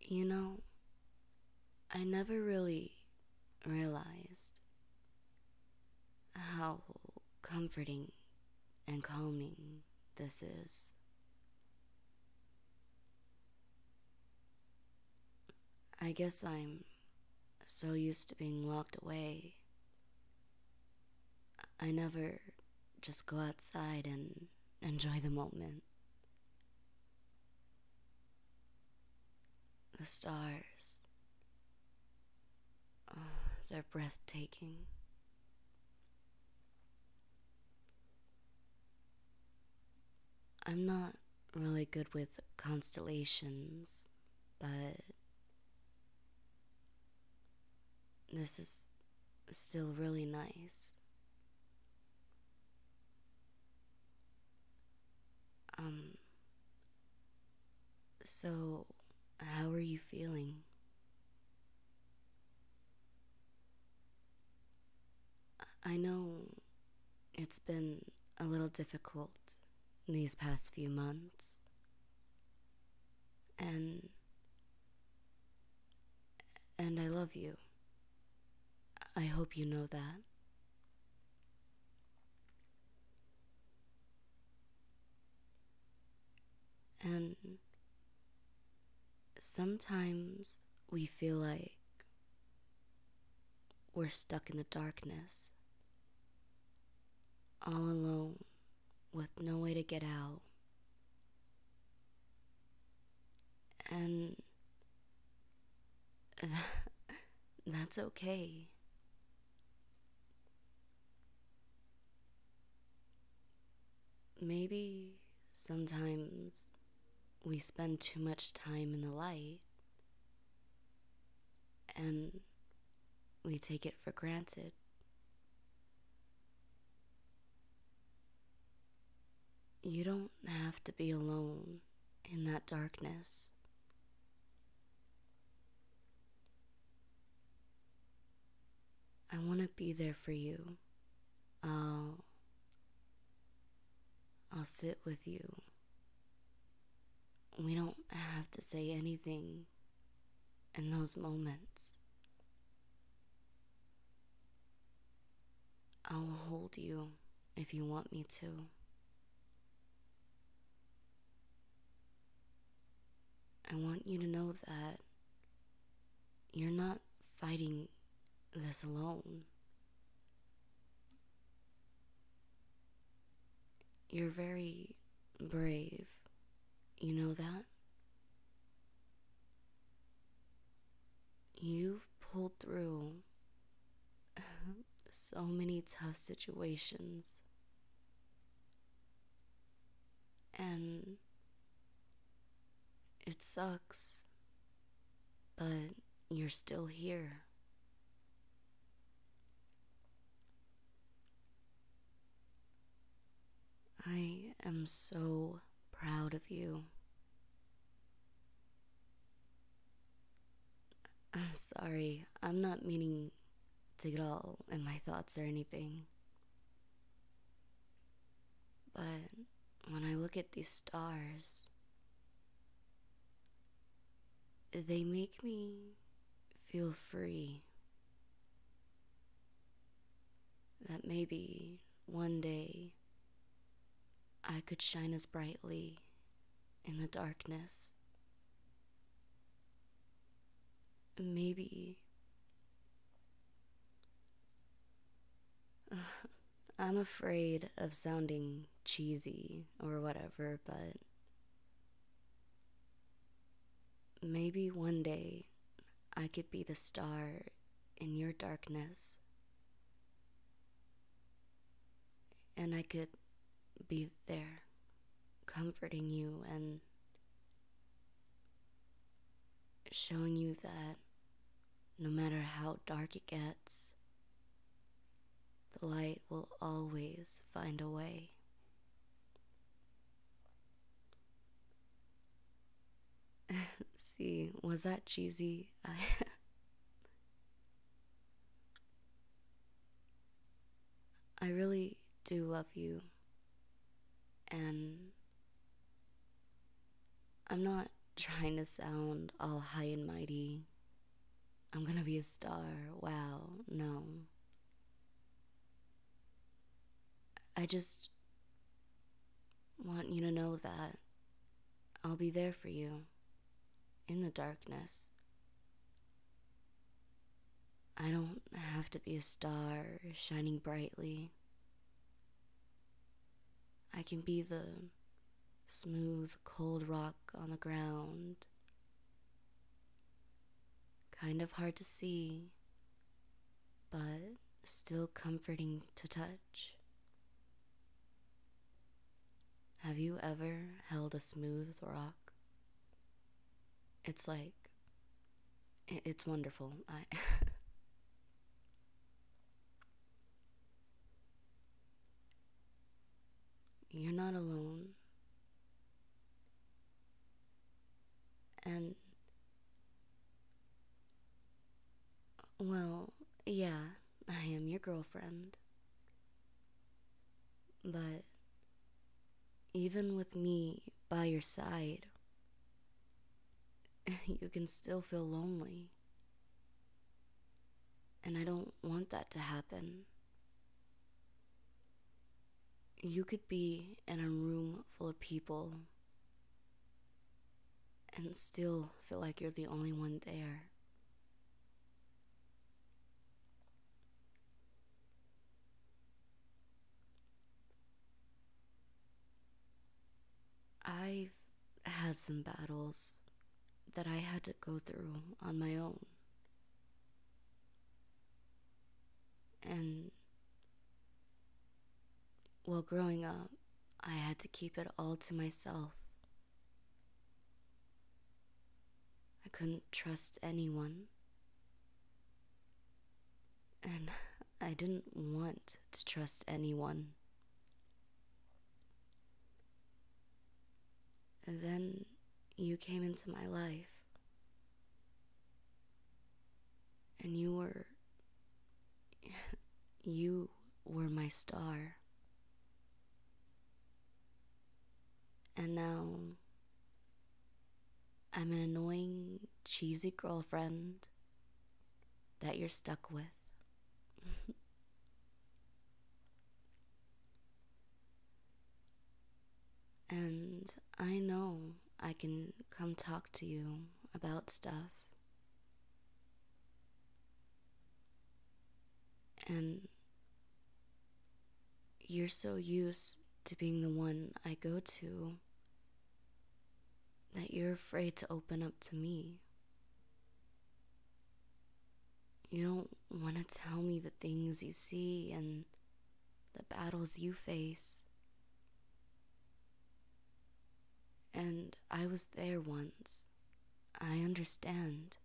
You know, I never really realized how comforting and calming this is. I guess I'm so used to being locked away. I never just go outside and enjoy the moment. The stars, uh, they're breathtaking. I'm not really good with constellations, but this is still really nice. Um, so, how are you feeling? I know it's been a little difficult these past few months, and and I love you. I hope you know that. And sometimes we feel like we're stuck in the darkness, all alone with no way to get out. And that's okay. Maybe sometimes we spend too much time in the light and we take it for granted. You don't have to be alone in that darkness. I want to be there for you. I'll I'll sit with you. We don't have to say anything in those moments. I'll hold you if you want me to. I want you to know that you're not fighting this alone. You're very brave you know that? You've pulled through so many tough situations. And it sucks, but you're still here. I am so proud of you. Sorry, I'm not meaning to get all in my thoughts or anything. But when I look at these stars, they make me feel free that maybe one day I could shine as brightly in the darkness. Maybe I'm afraid of sounding cheesy or whatever, but maybe one day I could be the star in your darkness. And I could be there, comforting you and showing you that no matter how dark it gets, the light will always find a way. See, was that cheesy? I really do love you. And I'm not trying to sound all high and mighty. I'm gonna be a star. Wow, no. I just want you to know that I'll be there for you in the darkness. I don't have to be a star shining brightly. I can be the smooth, cold rock on the ground. Kind of hard to see but still comforting to touch. Have you ever held a smooth rock? It's like, it's wonderful. I. You're not alone. And. Well, yeah, I am your girlfriend. But. Even with me by your side, you can still feel lonely. And I don't want that to happen you could be in a room full of people and still feel like you're the only one there. I've had some battles that I had to go through on my own. And while growing up, I had to keep it all to myself. I couldn't trust anyone. And I didn't want to trust anyone. then you came into my life. And you were. You were my star. And now. I'm an annoying, cheesy girlfriend that you're stuck with. And I know I can come talk to you about stuff. And you're so used to being the one I go to that you're afraid to open up to me. You don't want to tell me the things you see and the battles you face. And I was there once. I understand.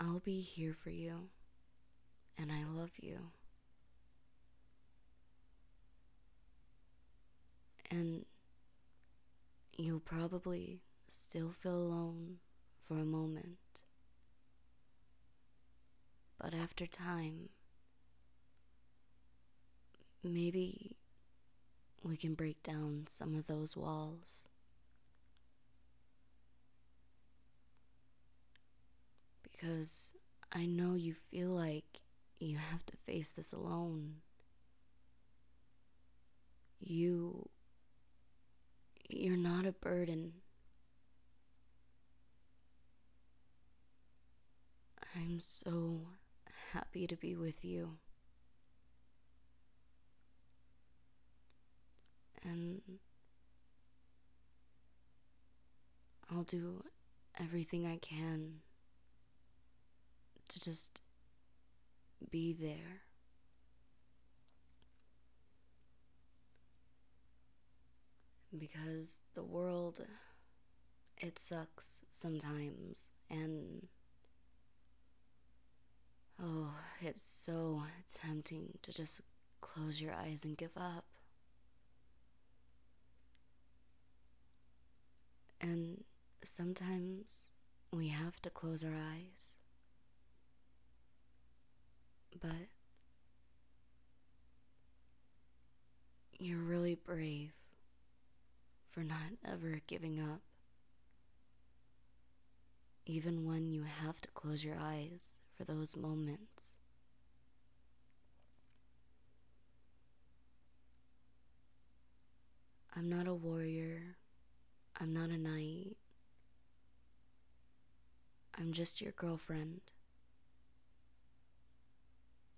I'll be here for you, and I love you. And you'll probably still feel alone for a moment. But after time, maybe we can break down some of those walls. Because I know you feel like you have to face this alone. You. You're not a burden. I'm so happy to be with you. And I'll do everything I can to just be there. Because the world, it sucks sometimes, and oh, it's so tempting to just close your eyes and give up. And sometimes we have to close our eyes. But you're really brave for not ever giving up. Even when you have to close your eyes for those moments. I'm not a warrior. I'm not a knight. I'm just your girlfriend.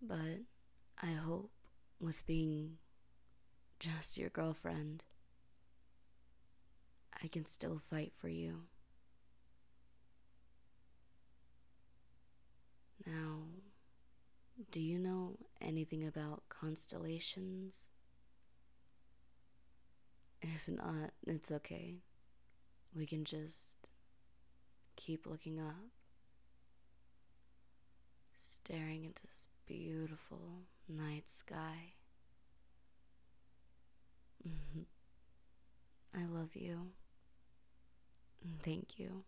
But I hope with being just your girlfriend, I can still fight for you. Now, do you know anything about constellations? If not, it's okay. We can just keep looking up, staring into this beautiful night sky. Mm-hmm. I love you. Thank you.